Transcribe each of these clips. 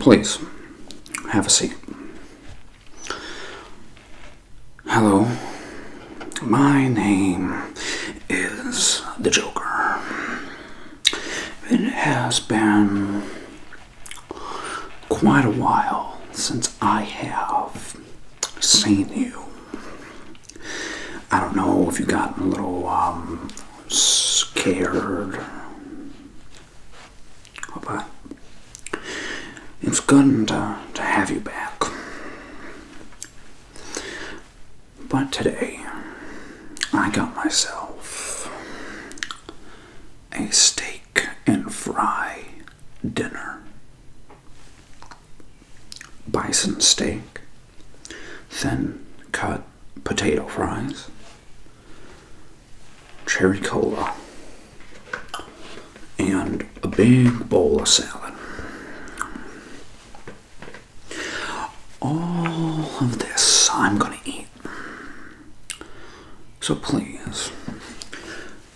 Please, have a seat. Hello, my name is the Joker. It has been quite a while since I have seen you. I don't know if you got a little um, scared. But it's good to, to have you back. But today, I got myself a steak and fry dinner. Bison steak, thin cut potato fries, cherry cola, and a big bowl of salad. All of this I'm going to eat. So please,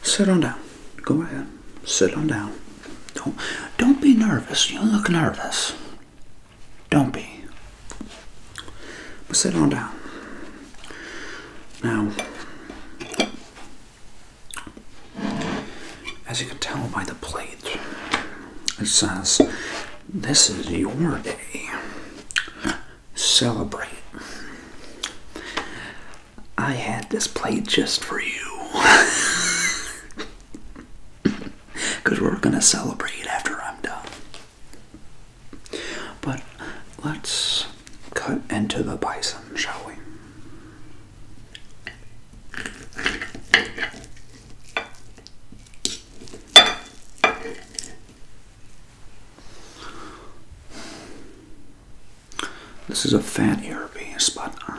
sit on down. Go ahead. Sit on down. Don't, don't be nervous. You look nervous. Don't be. But sit on down. Now, as you can tell by the plate, it says, This is your day. Celebrate. I had this plate just for you. Because we're going to celebrate after I'm done. But let's cut into the bison, shall we? This is a fattier piece, but uh,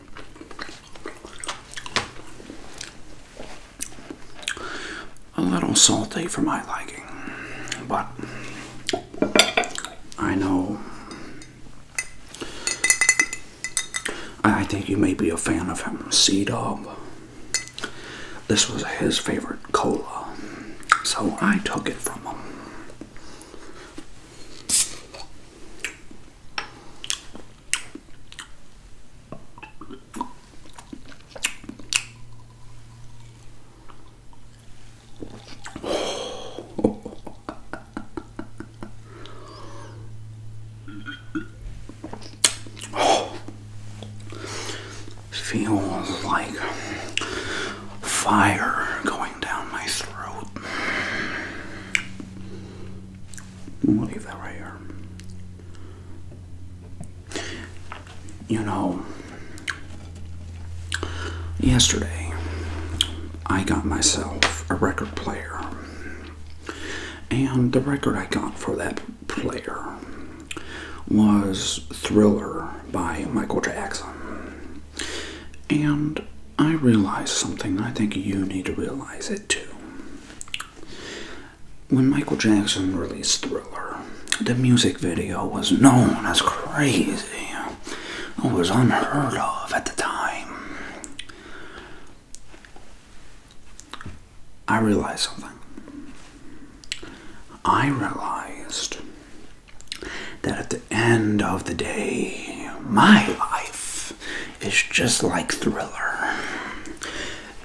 A little salty for my liking, but I know. I think you may be a fan of him, C Dog. This was his favorite cola, so I took it from him oh, feels like fire going down my throat. We'll leave that right here. You know, yesterday I got myself a record player. And the record I got for that player was Thriller by Michael Jackson. And I realize something, I think you need to realize it too. When Michael Jackson released Thriller, the music video was known as crazy. It was unheard of at the time. I realize something. I realized that at the end of the day, my life is just like Thriller.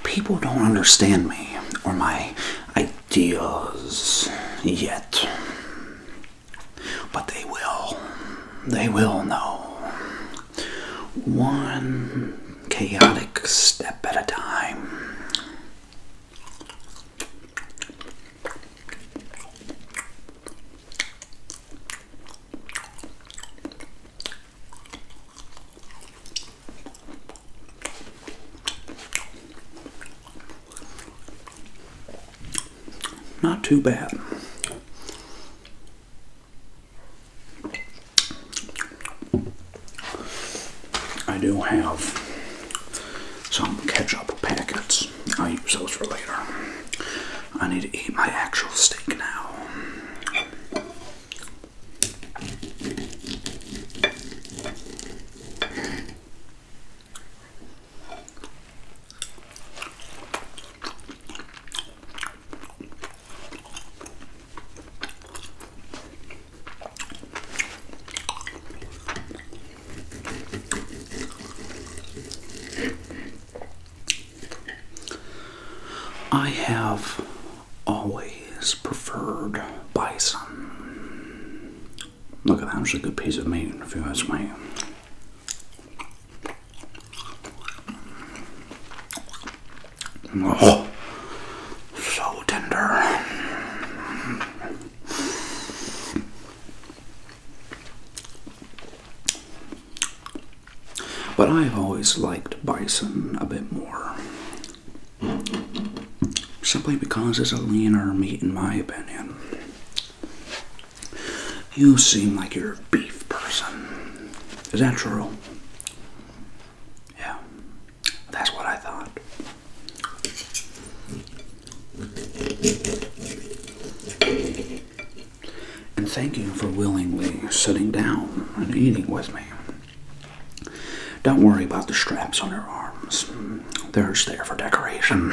People don't understand me or my ideas yet. But they will. They will know. One chaotic step at a time. Not too bad. I do have some ketchup packets. I'll use those for later. I need to eat my actual steak now. I have always preferred bison. Look at that, it's a good piece of meat if you ask me. Oh, so tender. But I've always liked bison a bit more. Simply because it's a leaner meat, in my opinion. You seem like you're a beef person. Is that true? Yeah, that's what I thought and thank you for willingly sitting down and eating with me. Don't worry about the straps on your arms, they're just there for decoration.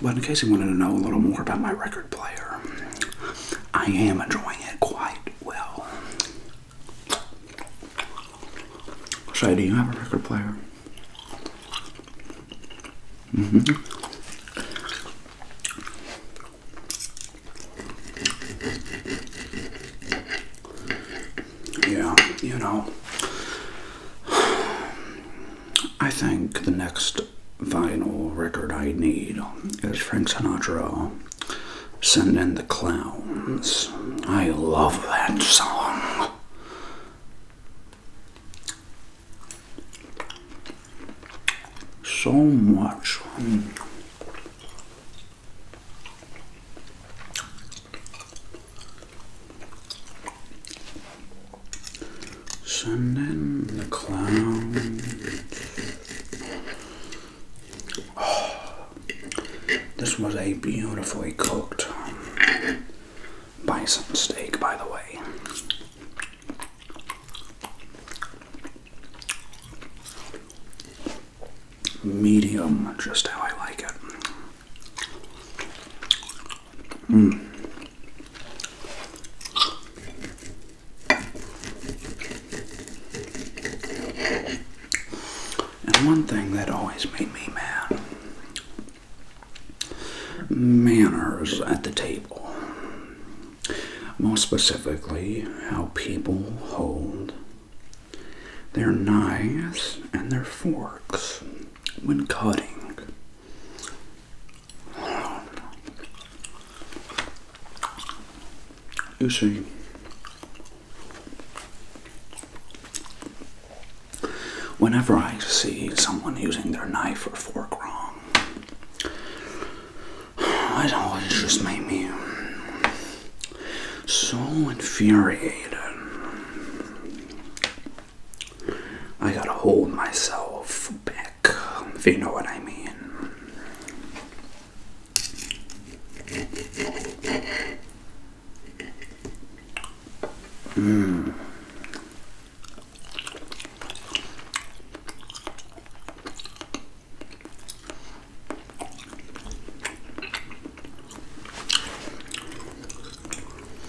But in case you wanted to know a little more about my record player, I am enjoying it quite well. Shay, do you have a record player? Mm hmm. Yeah, you know, I think the next vinyl record I need is Frank Sinatra Send in the Clowns. I love that song. So much. Sending the clown. this was a beautifully cooked um, bison steak, by the way. Medium, just how I like it. Mm. And one thing that always made me mad manners at the table. More specifically, how people hold their knives and their forks when cutting. You see, whenever I see someone using their knife or fork wrong, it always just makes me so infuriated. I gotta hold myself back, if you know what I mean. Mm.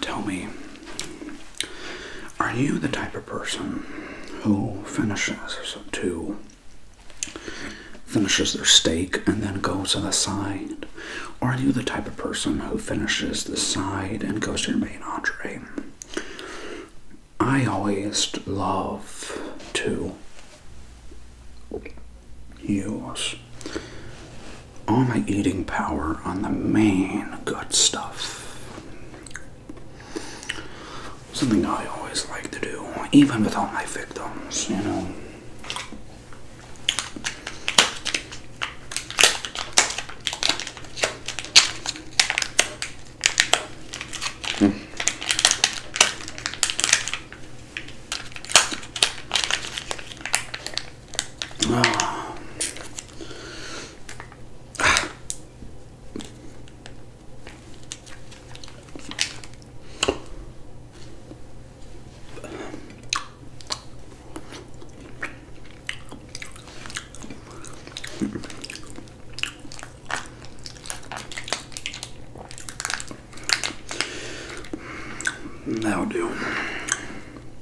Tell me, are you the type of person who finishes to finishes their steak and then goes to the side? Or are you the type of person who finishes the side and goes to your main entree? I always love to yours all my eating power on the main good stuff. Something I always like to do, even with all my victims, you know. Now do.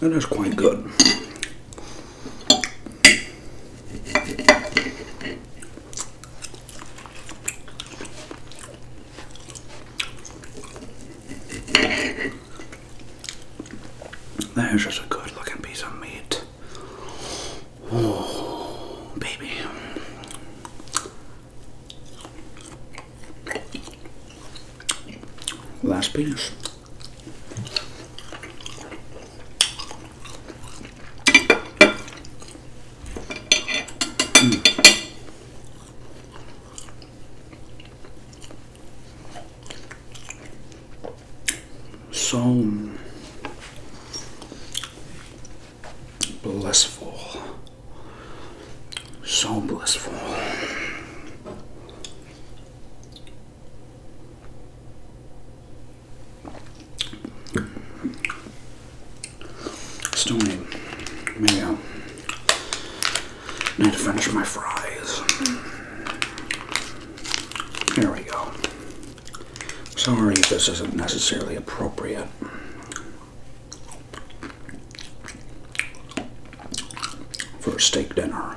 That is quite good. That is just a good looking piece of meat. Oh, baby. Last piece. So blissful, so blissful. Still need, i need to finish my fries. Here we go. Sorry if this isn't necessarily appropriate. For a steak dinner,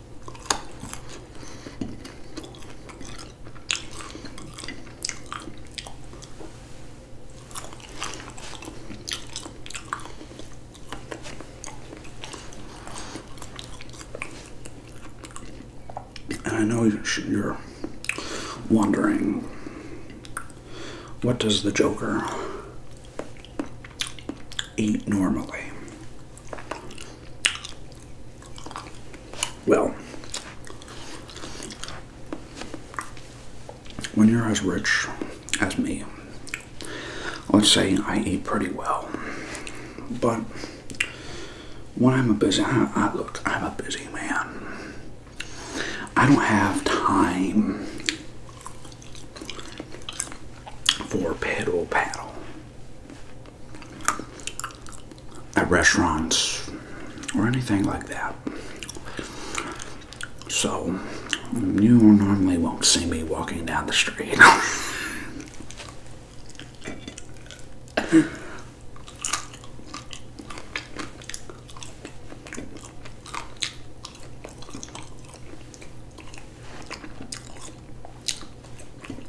And I know you're wondering what does the Joker eat normally? Well, when you're as rich as me, let's say I eat pretty well, but when I'm a busy, I, I look, I'm a busy man. I don't have time for pedal paddle at restaurants or anything like that. So, you normally won't see me walking down the street.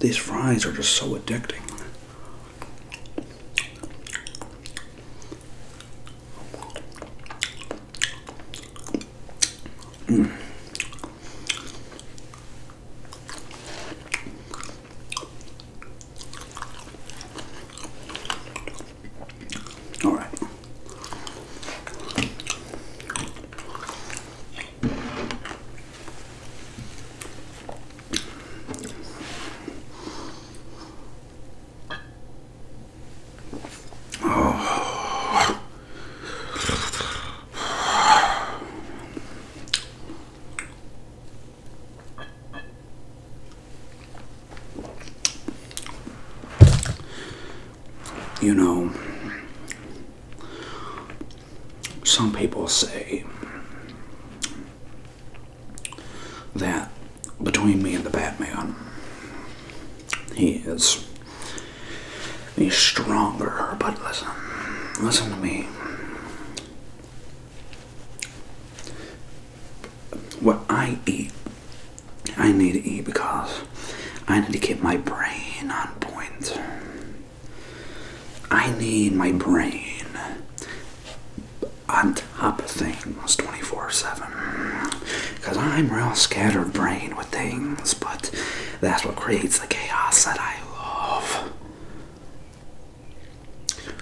These fries are just so addicting. Mm. All right. Oh. You know, some people say that between me and the Batman. He is. He's stronger, but listen. Listen to me. What I eat, I need to eat because I need to keep my brain on point. I need my brain up things 24 7. Because I'm real scattered brain with things, but that's what creates the chaos that I love.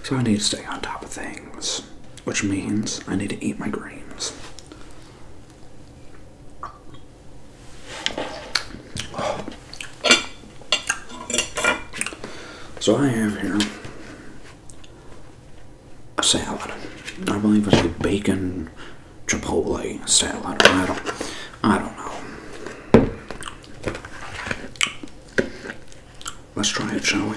So I need to stay on top of things, which means I need to eat my greens. So I have here a salad. I believe it's a bacon chipotle salad. I don't, I don't know. Let's try it, shall we?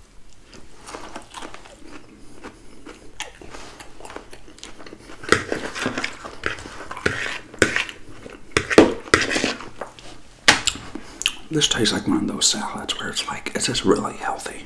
This tastes like one of those salads where it's like, it's just really healthy.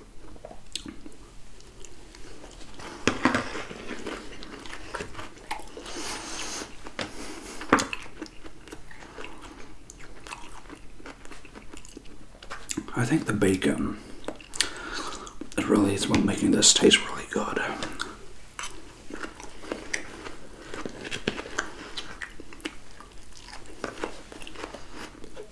I think the bacon is really is what making this taste really good.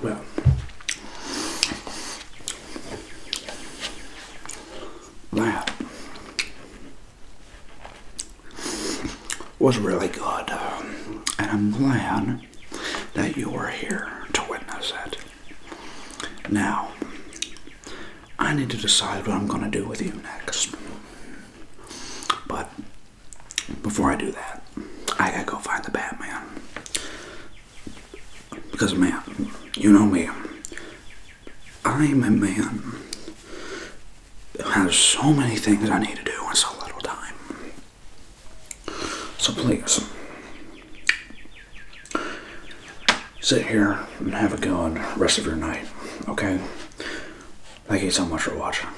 Well, that was really good, and I'm glad that you were here to witness it. Now, I need to decide what I'm going to do with you next. But before I do that, I gotta go find the Batman. Because, man, you know me. I'm a man who has so many things I need to do in so little time. So please, sit here and have a good rest of your night, okay? Thank you so much for watching.